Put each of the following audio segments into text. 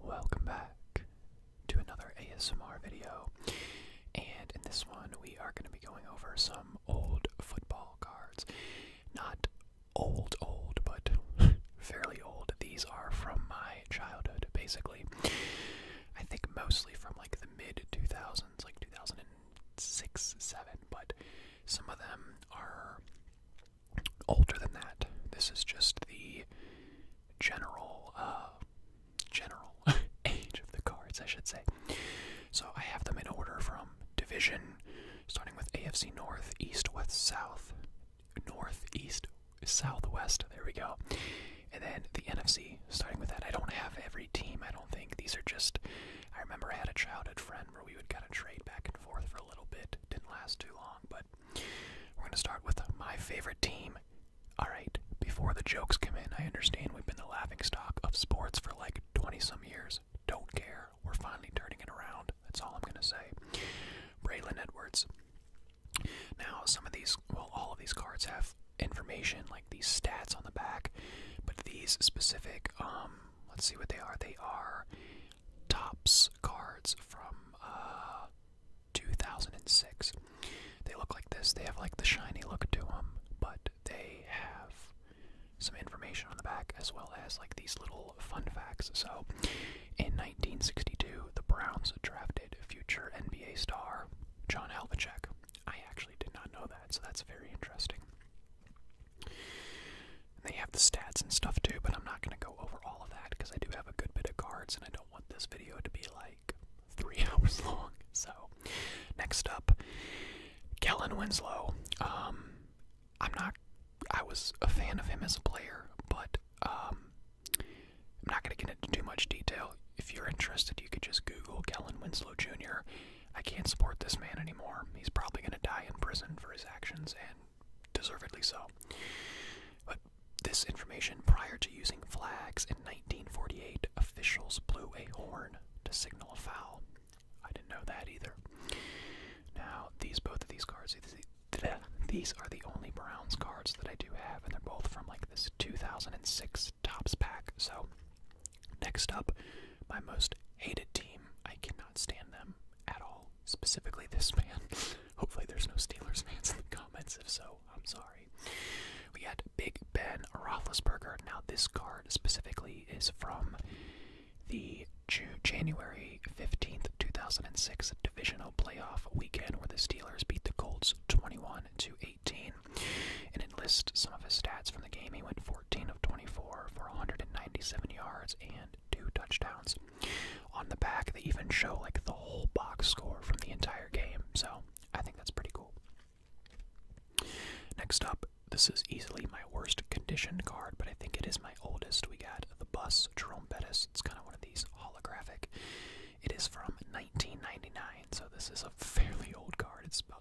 Welcome back to another ASMR video, and in this one, we are going to be going over some old football cards. Not old, old, but fairly old. These are from my childhood, basically. I think mostly from like the mid 2000s, like 2006, 7, but some of them are older than that. This is just the general, uh, general age of the cards, I should say. So I have them in order from division, starting with AFC North, East, West, South, North, East, Southwest. There we go. And then the NFC, starting with that. I don't have every team, I don't think. These are just, I remember I had a childhood friend where we would kind of trade back and forth for a little bit. Didn't last too long, but we're going to start with my favorite team. All right, before the jokes come in, I understand we've been the laughing stock of sports for like 20 some years. Don't care. We're finally turning it around. That's all I'm going to say. Braylon Edwards. Now, some of these, well, all of these cards have information like these stats on the back, but these specific, um, let's see what they are. They are Topps cards from uh, 2006. They look like this. They have like the shiny look to them, but they have some information on the back as well as like these little fun facts. So, in 1962, the Browns drafted future NBA star John Havlicek. I actually did not know that, so that's very interesting. And they have the stats and stuff too, but I'm not going to go over all of that because I do have a good bit of cards and I don't want this video to be like three hours long. So, next up, Kellen Winslow. Um, I'm not, I was a fan of him as a player, but um, I'm not going to get into too much detail. If you're interested, you could just Google Kellen Winslow Jr. I can't support this man anymore. He's probably going to die in prison for his actions, and deservedly so. But this information prior to using flags in 1948, officials blew a horn to signal a foul. I didn't know that either. Now, these both of these cards, these are the only Browns cards that I do have, and they're both from like this 2006 Tops pack. So Next up, my most hated team. I cannot stand them at all. Specifically, this man. Hopefully, there's no Steelers fans in the comments. If so, I'm sorry. We had Big Ben Roethlisberger. Now, this card specifically is from the January 15th, 2006 divisional playoff weekend where the Steelers beat the Colts 21 to 18. And it lists some of his stats from the game. He went for 14 of 24 for 197 yards and two touchdowns. On the back, they even show like the whole box score from the entire game, so I think that's pretty cool. Next up, this is easily my worst conditioned card, but I think it is my oldest. We got the bus Jerome Bettis. It's kind of one of these holographic. It is from 1999, so this is a fairly old card. It's about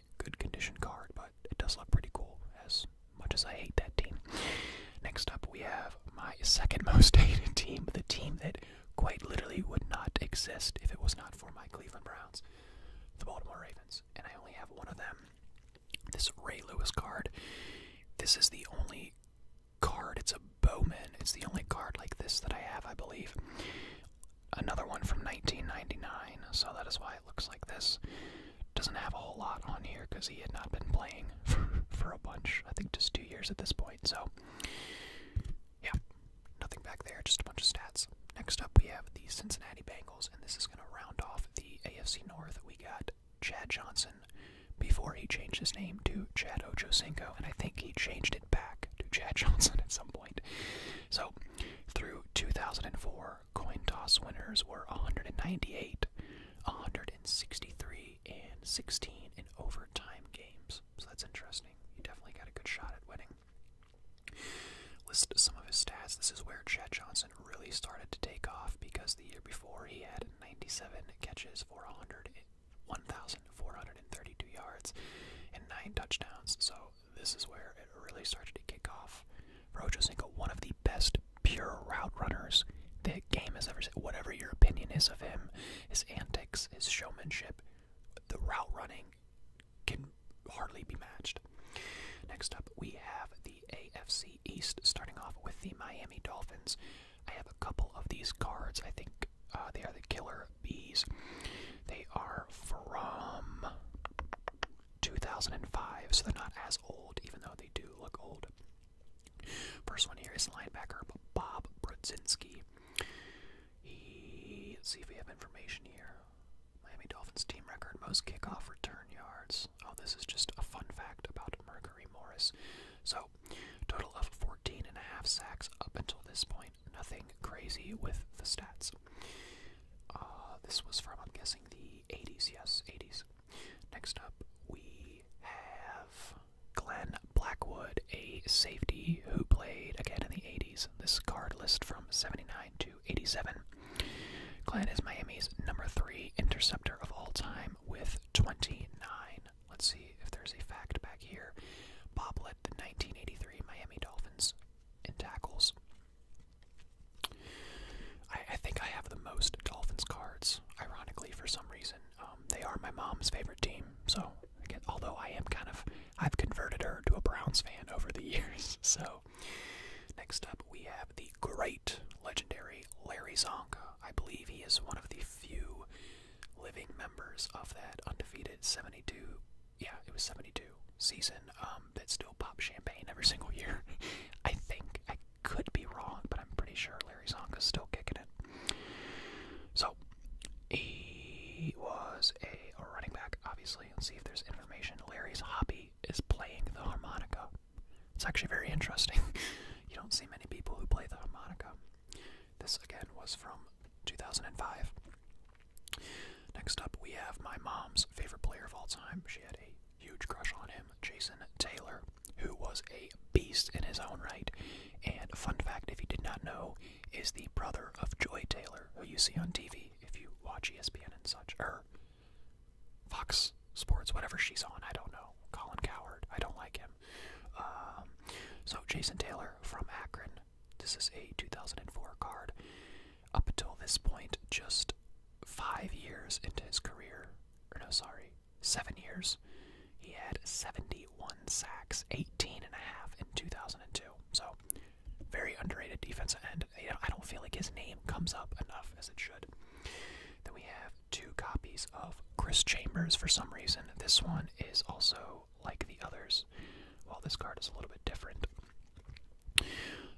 good condition card, but it does look pretty cool, as much as I hate that team. Next up, we have my second most hated team, the team that quite literally would not exist if it was not for my Cleveland Browns, the Baltimore Ravens, and I only have one of them. This Ray Lewis card. This is the only card, it's a Bowman, it's the only card like this that I have, I believe another one from 1999, so that is why it looks like this. Doesn't have a whole lot on here because he had not been playing for, for a bunch, I think just two years at this point, so yeah, nothing back there, just a bunch of stats. Next up, we have the Cincinnati Bengals, and this is going to round off the AFC North. We got Chad Johnson before he changed his name to Chad Ochocinco, and I think he changed it back to Chad Johnson at some point. So, through 2004, coin toss winners were 198, 163, and 16 in overtime games. So that's interesting. You definitely got a good shot at winning. List some of his stats. This is where Chad Johnson really started to take off because the year before he had 97 catches for 1,432 yards and 9 touchdowns. So this is where it really started to kick off. For Ochocinco, one of the best pure route runners the game has ever seen. Whatever your opinion is of him, his antics, his showmanship, the route running can hardly be matched. Next up, we have the AFC East, starting off with the Miami Dolphins. I have a couple of these cards. I think uh, they are the killer bees. They are from 2005, so they're not as old, even though they do look old. First one here is linebacker Bob Brudzinski. He, see if we have information here. Miami Dolphins team record, most kickoff return yards. Oh, this is just a fun fact about Mercury Morris. So, total of 14 and a half sacks up until this point. Nothing crazy with the stats. Uh, this was from, I'm guessing, the 80s. Yes, 80s. Next up, we have Glenn Blackwood, a safety who played again in the 80s. This card list from 79 to 87. Glenn is Miami's number three interceptor of all time with 29. Let's see if there's a fact back here. Bob led the 1983 Miami Dolphins in tackles. I, think I have the most Dolphins cards, ironically, for some reason. Um, they are my mom's favorite team, so although I am kind of, I've converted her to a Browns fan over the years. So, next up we have the great legendary Larry Zonka. I believe he is one of the few living members of that undefeated 72 yeah, it was 72 season um, that still popped champagne every single year. I think I could be wrong, but I'm pretty sure Larry Zonka's still kicking it. So he was a running back, obviously. Let's see if there's information. Larry's hobby is playing the harmonica. It's actually very interesting. you don't see many people who play the harmonica. This again was from 2005. Next up, we have my mom's favorite player of all time. She had a huge crush on him, Jason Taylor, who was a beast in his own right. And a fun fact, if you did not know, is the brother of Joy Taylor, who you see on TV if you watch ESPN and such, or Fox Sports, whatever she's on. I don't know. Colin Coward. I don't like him. Um, so Jason Taylor from Akron this is a 2004 card. Up until this point, just five years into his career, or no, sorry, seven years, he had 71 sacks, 18 and a half in 2002. So, very underrated defense, and I don't feel like his name comes up enough as it should. Then we have two copies of Chris Chambers for some reason. This one is also like the others, while this card is a little bit different.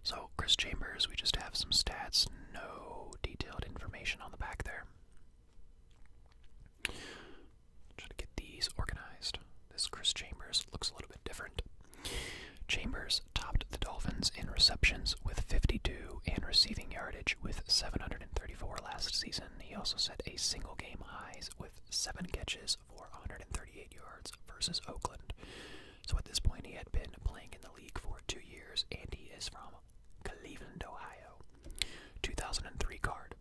So, Chris Chambers, we just have some stats, no detailed information on the back there. Try to get these organized. This Chris Chambers looks a little bit different. Chambers topped the Dolphins in receptions with 52 and receiving yardage with 734 last season. He also set a single game highs with seven catches for 138 yards versus Oakland. So at this point, he had been playing in the league for two years, and he is from Cleveland, Ohio. 2003 card.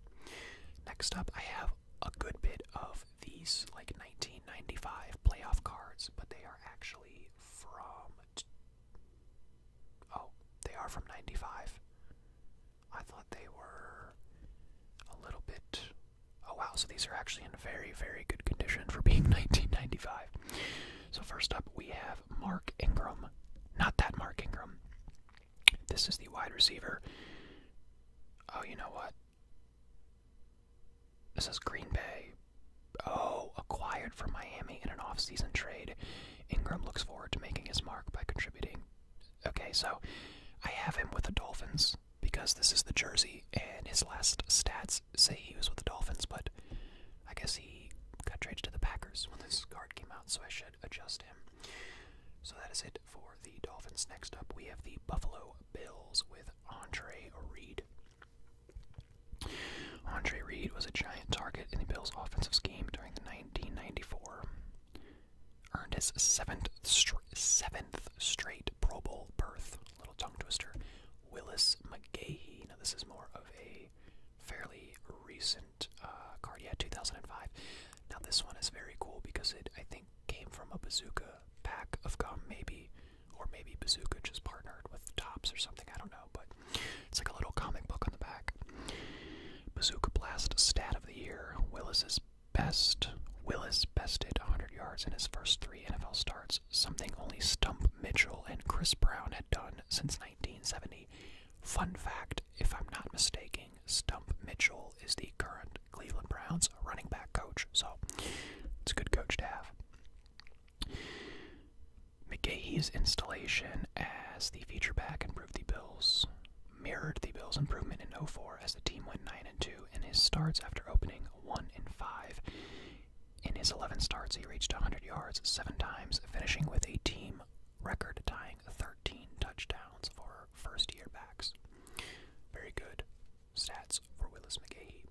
Next up, I have a good bit of these like 1995 playoff cards, but they are actually from. Oh, they are from 95. I thought they were a little bit. Oh wow, so these are actually in very, very good condition for being 1995. So, first up, we have Mark Ingram. Not that Mark Ingram. This is the wide receiver. Oh, you know what? This is Green Bay. Oh, acquired from Miami in an offseason trade. Ingram looks forward to making his mark by contributing Okay, so I have him with the Dolphins because this is the jersey, and his last stats say he was with the Dolphins, but I guess he got traded to the Packers when this card came out, so I should adjust him. So that is it for the Dolphins. Next up, we have the Buffalo Bills with Andre Reed. Andre Reed was a giant target in the Bills' offensive scheme during the 1994 earned his seventh seventh straight Pro Bowl berth. Little tongue twister. Willis McGahee. Now this is more of a fairly recent uh, card. Yeah, 2005. Now this one is very cool because it I think came from a Bazooka pack of gum, maybe, or maybe Bazooka just partnered with Tops or something. I don't know, but it's like a little comic book on the back. Bazooka Blast Stat of the Year. Willis's best. Willis bested 100 yards in his first three NFL starts, something only Stump Mitchell and Chris Brown had done since 1970. Fun fact if I'm not mistaken, Stump Mitchell is the current Cleveland Browns running back coach, so it's a good coach to have. McGee's installation as the feature back improved the Bills' mirrored the Bills' improvement in 04 as the team went 9 2 and his starts after opening 1 5. In his 11 starts, he reached 100 yards 7 times, finishing with a team record tying 13 touchdowns for first year backs. Very good stats for Willis McGahee.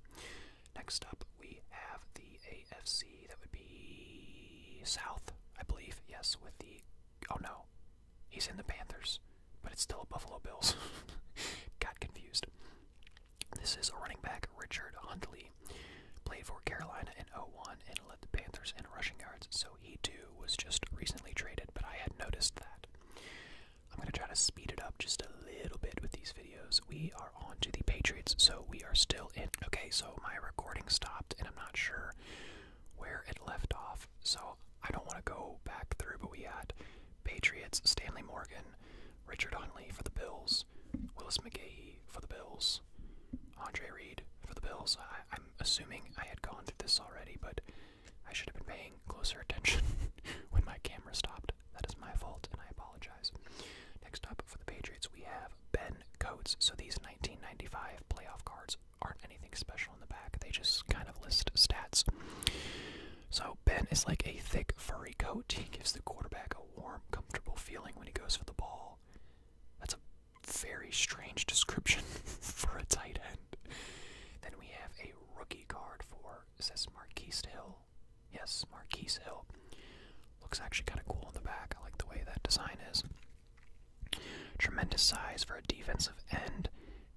Next up, we have the AFC that would be South, I believe, yes, with the Oh no, he's in the Panthers, but it's still a Buffalo Bills. Got confused. This is a running back, Richard Huntley. Played for Carolina in 01 and led the Panthers in rushing yards, so he too was just recently traded, but I had noticed that. I'm going to try to speed it up just a little bit with these videos. We are on to the Patriots, so we are still in. Okay, so my recording stopped, and I'm not sure where it left off. So I don't want to go back through, but we had Patriots, Stanley Morgan, Richard Huntley for the Bills, Willis McGahee for the Bills, Andre Reed for the Bills. I'm assuming I had gone through this already, but I should have been paying closer attention when my camera stopped. That is my fault, and I apologize. Next up for the Patriots, we have Ben Coates. So these 1995 playoff cards aren't anything special in the back. They just kind of list stats. So Ben is like a thick, furry coat. He gives the quarterback a warm, comfortable feeling when he goes for the ball. That's a very strange description for a tight end. Then we have a rookie card for it says Marquise Hill. Yes, Marquise Hill. Looks actually kind of cool in the back. I like the way that design is. Tremendous size for a defensive end.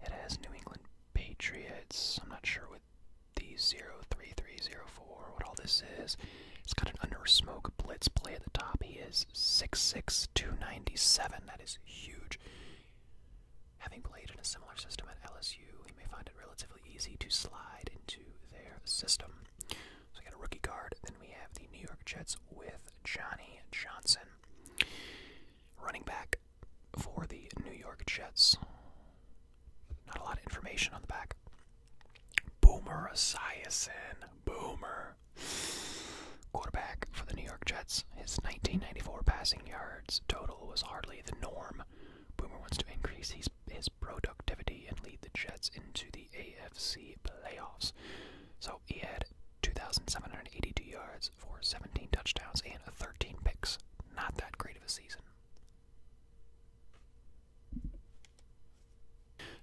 It has New England Patriots. I'm not sure what the 03304, what all this is. It's got an under smoke blitz play at the top. He is six six two That is huge. Having played in a similar system at LSU, he may find it relatively easy to slide into their system. So we got a rookie card. Then we have the New York Jets with Johnny Johnson. Running back for the New York Jets. Not a lot of information on the back. Boomer Esiason. Boomer. Quarterback for the New York Jets. His 1994 passing yards total was hardly the norm. Boomer wants to increase his, his productivity and lead the Jets into the AFC playoffs. So he had 2,782 yards for 17 touchdowns and 13 picks. Not that great of a season.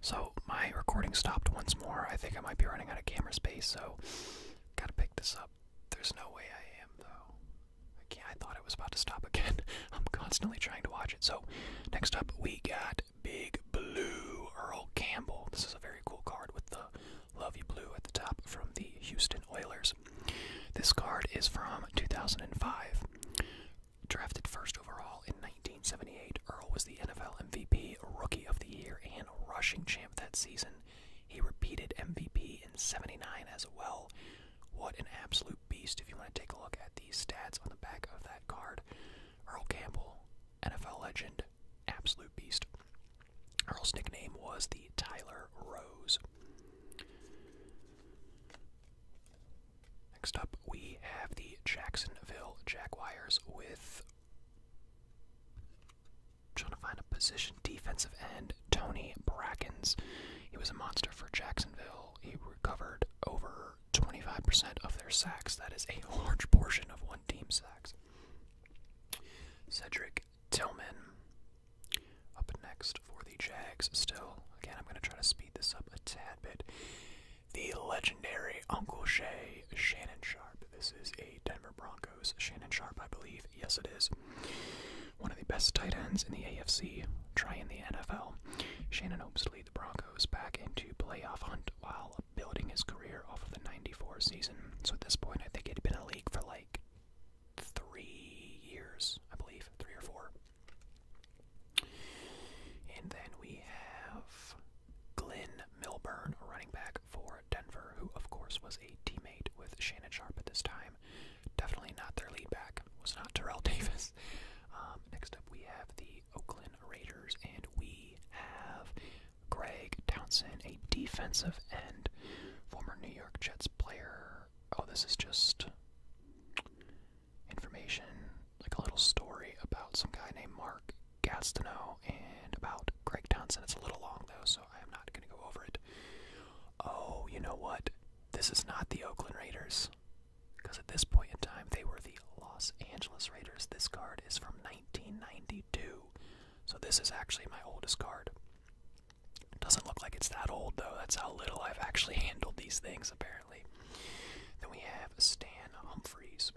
So my recording stopped once more. I think I might be running out of camera space, so gotta pick this up. There's no way I am though. I thought it was about to stop again. I'm constantly trying to watch it. So next up, we got Big Blue Earl Campbell. This is a very cool card with the Lovey Blue at the top from the Houston Oilers. This card is from 2005. Drafted first overall in 1978, Earl was the NFL MVP, Rookie of the Year, and rushing champ that season. He repeated MVP in 79 as well. What an absolute beast. If you want to take a look at these stats on the back of that card, Earl Campbell, NFL legend, absolute beast. Earl's nickname was the Tyler Rose. Next up, we have the Jacksonville Jaguars with. trying to find a position defensive end, Tony Brackens. He was a monster for Jacksonville. He recovered over 25% of their sacks. That is a large portion of one team's sacks. Cedric Tillman up next for the Jags. Still, again, I'm going to try to speed this up a tad bit. The legendary Uncle Shay, Shannon Sharp. This is a Denver Broncos. Shannon Sharp, I believe. Yes, it is. One of the best tight ends in the AFC. Try in the NFL. Shannon hopes to Broncos back into playoff hunt while building his career off of the 94 season. So at this point, I think he'd been in the league for like three years, I believe, three or four. And then we have Glenn Milburn, running back for Denver, who of course was a teammate with Shannon Sharp at this time. Definitely not their lead back. Was not Terrell Davis. Um, next up, we have the Oakland Raiders, and we have Greg Townsend, a defensive end, former New York Jets player. Oh, this is just information, like a little story about some guy named Mark Gastineau and about Greg Townsend. It's a little long, though, so I am not going to go over it. Oh, you know what? This is not the Oakland Raiders. Because at this point in time, they were the Los Angeles Raiders. This card is from 1992. So this is actually my oldest card. doesn't look like it's that old, though. That's how little I've actually handled these things, apparently. Then we have Stan Humphreys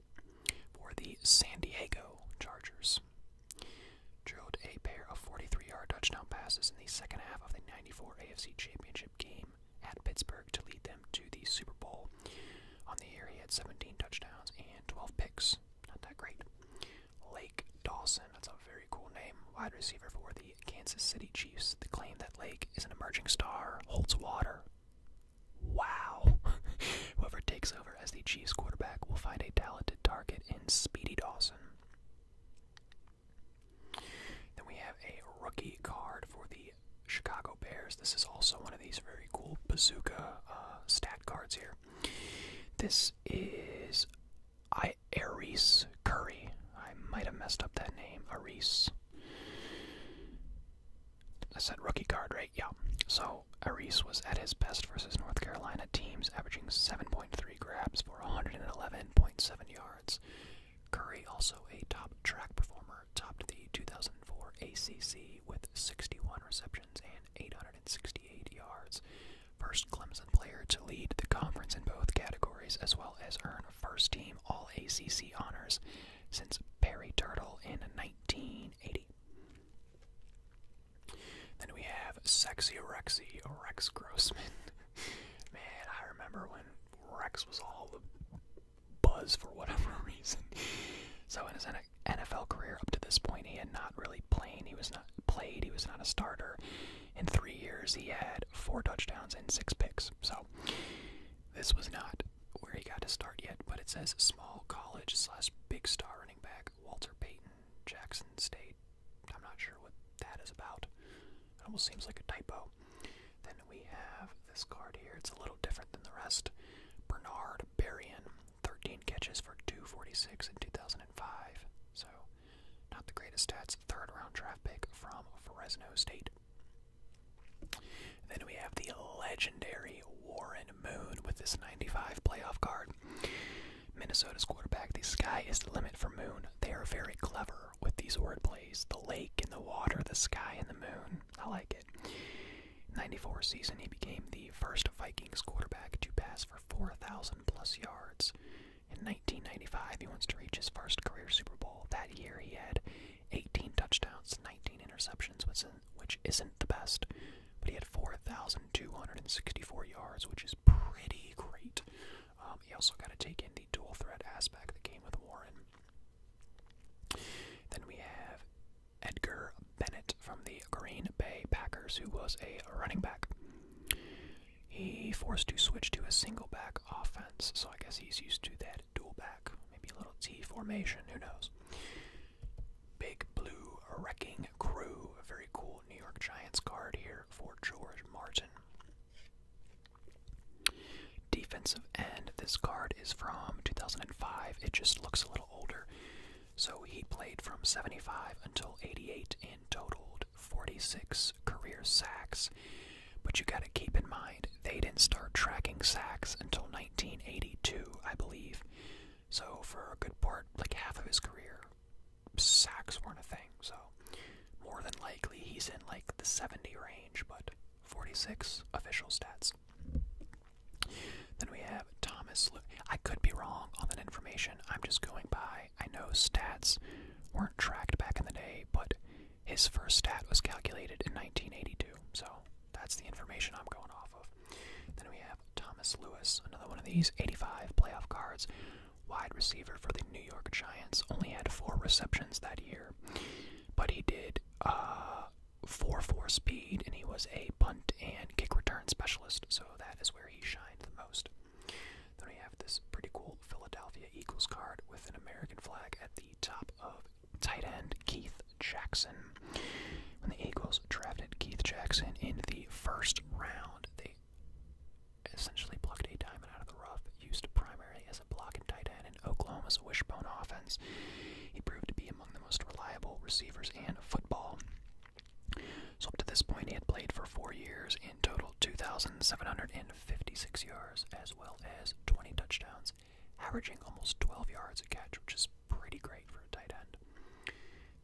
for the San Diego Chargers. Drilled a pair of 43 yard touchdown passes in the second half of the 94 AFC Championship game at Pittsburgh to lead them to the Super Bowl. On the year, he had 17 touchdowns and 12 picks. Not that great. Lake Dawson, that's a very cool name, wide receiver for the Kansas City Chiefs. The claim that Lake is an emerging star holds water. Wow. Whoever takes over as the Chiefs quarterback will find a talented target in Speedy Dawson. Then we have a rookie card for the Chicago Bears. This is also one of these very cool bazooka uh, stat cards here. This is I Aries Curry. I might have messed up that name. Aries. I said rookie card, right? Yeah. So Aries was at his best versus North Carolina teams, averaging 7.3 grabs for 111.7 yards. Curry, also a top track performer, topped the 2004 ACC with 61 receptions and 868 yards. First Clemson player to lead the conference in both categories, as well as earn first team All ACC honors since Barry Turtle in 1980. Then we have Sexy Rexy Rex Grossman. Man, I remember when Rex was all the buzz for whatever reason. So in his NFL career up to this point, he had not really played. He was not played. He was not a starter. In three years, he had four touchdowns and six picks. So this was not where he got to start yet. But it says small college slash big star running back Walter Payton, Jackson State. I'm not sure what that is about. It almost seems like a typo. Then we have this card here. It's a little different than the rest. Bernard Berrien, 13 catches for 246 in 2005. So, not the greatest stats. Third round draft pick from Fresno State. Then we have the legendary Warren Moon with this 95 playoff card. Minnesota's quarterback, the sky is the limit for Moon. They are very clever with these wordplays the lake and the water, the sky and the moon. I like it. In 94 season, he became the first Vikings quarterback to pass for 4,000 plus yards. In 1995, he wants to reach his first career Super Bowl. That year, he had 18 touchdowns, 19 interceptions, which isn't the best, but he had 4,264 yards, which is pretty great. Um, he also got to take in the dual threat aspect that came with Warren. Then we have Edgar Bennett from the Green Bay Packers, who was a running back. He forced to switch to a single back offense, so I guess he's used to that dual back, maybe a little T formation, who knows. Big Blue Wrecking Crew, a very cool New York Giants card here for George Martin. Defensive end. This card is from 2005. It just looks a little older. So he played from 75 until 88 and totaled 46 career sacks. But you got to keep in mind, they didn't start tracking sacks until 1982, I believe. So for a good part, like half of his career, sacks weren't a thing. So more than likely he's in like the 70 range, but 46 official stats. Then we have Thomas. I could be wrong on that information. I'm just going by. I know stats weren't tracked back in the day, but his first stat was calculated in 1982. So that's the information I'm going off of. Then we have Thomas Lewis, another one of these 85 playoff cards wide receiver for the New York Giants, only had four receptions that year, but he did uh, four four speed, and he was a punt and kick return specialist. So that is where he shined the most. Then we have this pretty cool Philadelphia Eagles card with an American flag at the top of tight end Keith Jackson. When the Eagles drafted Keith Jackson in the first round, they essentially plucked a diamond out of the rough, used primarily as a blocking tight end in Oklahoma's wishbone offense. He proved to be among the most reliable receivers in football. So, up to this point, he had played for four years in total 2,756 yards, as well as 20 touchdowns, averaging almost 12 yards a catch, which is pretty great for a tight end.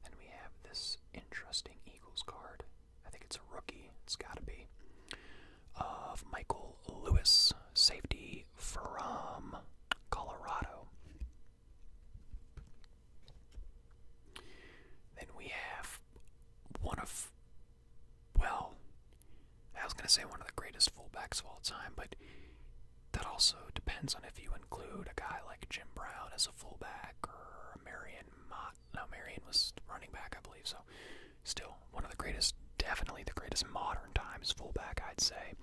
And we have this interesting Eagles card. I think it's a rookie. It's got to be. Of Michael Lewis, safety from Colorado. Then we have one of, well, I was going to say one of the greatest fullbacks of all time, but that also depends on if you include a guy like Jim Brown as a fullback or Marion Mott spot. Marion was running back, I believe, so still one of the greatest, definitely the greatest modern times fullback, I'd say.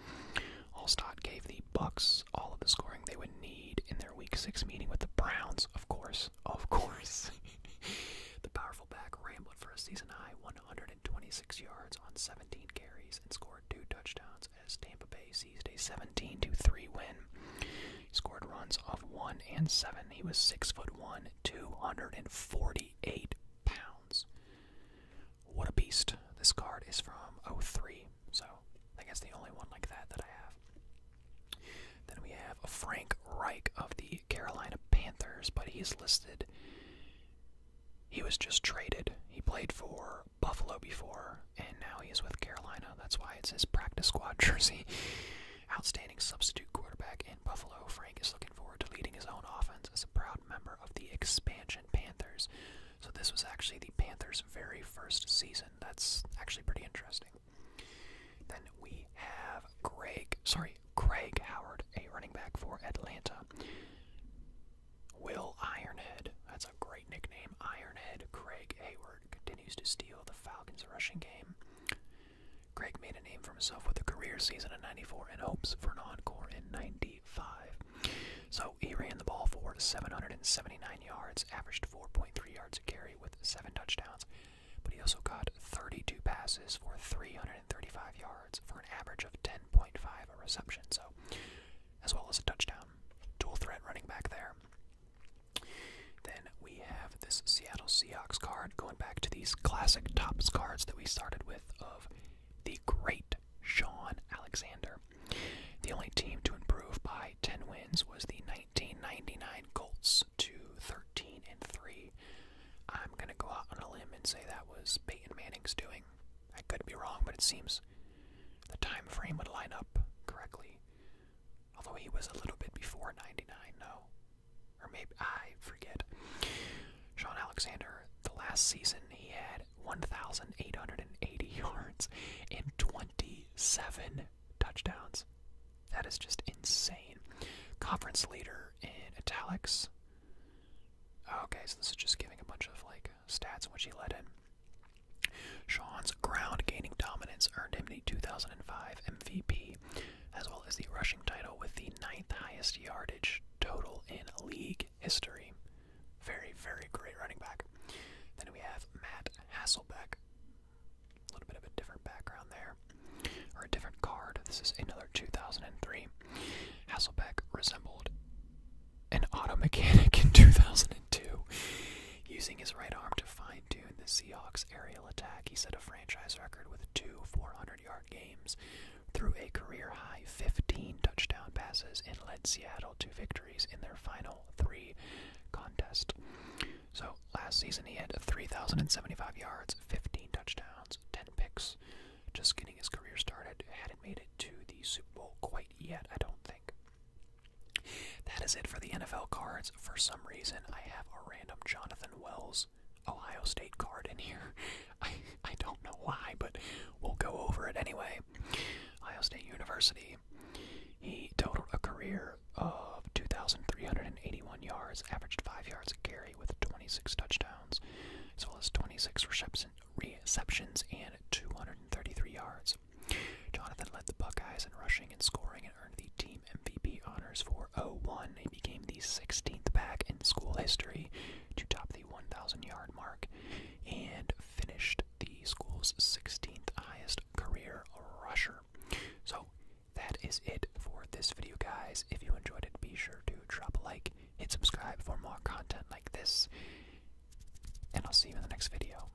Allstott gave the Bucks all of the scoring they would need in their Week 6 meeting with the Browns, of course. Of course. the powerful back rambled for a season high 126 yards on 17 carries and scored two touchdowns as Tampa Bay seized a 17 3 win. He scored runs of one and seven. He was six foot one, two hundred and forty-eight pounds. What a beast! This card is from 03, so I guess the only one like that that I have. Then we have Frank Reich of the Carolina Panthers, but he's listed. He was just traded. He played for Buffalo before, and now he's with Carolina. That's why it's his practice squad jersey. Outstanding substitute quarterback in Buffalo, Frank is looking forward to leading his own offense as a proud member of the expansion Panthers. So this was actually the Panthers' very first season. That's actually pretty interesting. Then we have Greg, sorry, Greg Howard, a running back for Atlanta. Will Ironhead, that's a great nickname. Ironhead Greg Hayward continues to steal the Falcons' rushing game. Greg made a name for himself with a career season in 94 and hopes for an encore in 95. So he ran the ball for 779 yards, averaged 4.3 yards a carry with seven touchdowns, but he also caught 32 passes for 335 yards for an average of 10.5 a reception, so as well as a touchdown. Dual threat running back there. Then we have this Seattle Seahawks card going back to these classic tops cards that we started with of the great Sean Alexander. The only team to improve by 10 wins was the 1999 Colts to 13 and 3. I'm going to go out on a limb and say that was Peyton Manning's doing. I could be wrong, but it seems the time frame would line up correctly. Although he was a little bit before 99, no. Or maybe, I forget. Sean Alexander, the last season, he had 1,880 yards and 27 touchdowns. That is just insane. Conference leader in italics. Okay, so this is just giving a bunch of like stats which he led in. Sean's ground gaining dominance earned him the 2005 MVP, as well as the rushing title with the ninth highest yardage total in league history. Very, very great running back. Then we have Matt Hasselbeck. A little bit of a different background there, or a different card. This is another 2003. Hasselbeck resembled an auto mechanic in 2002, using his right arm to find in the Seahawks aerial attack. He set a franchise record with two 400 yard games, threw a career high 15 touchdown passes, and led Seattle to victories in their final three contests. So last season he had 3,075 yards, 15 touchdowns, 10 picks. Just getting his career started, hadn't made it to the Super Bowl quite yet, I don't think. That is it for the NFL cards. For some reason, I have a random Jonathan Wells Ohio State card in here. I, I don't know why, but we'll go over it anyway. Ohio State University. He totaled a career of 2,381 yards, averaged 5 yards a carry with 26 touchdowns, as well as 26 receptions and 233 yards. Jonathan led the Buckeyes in rushing and scoring and earned the team MVP honors for 01. He became the 16th back in school history to top the 1,000 yard mark and finished the school's 16th highest career rusher. So that is it for this video, guys. If you enjoyed it, be sure to drop a like, hit subscribe for more content like this, and I'll see you in the next video.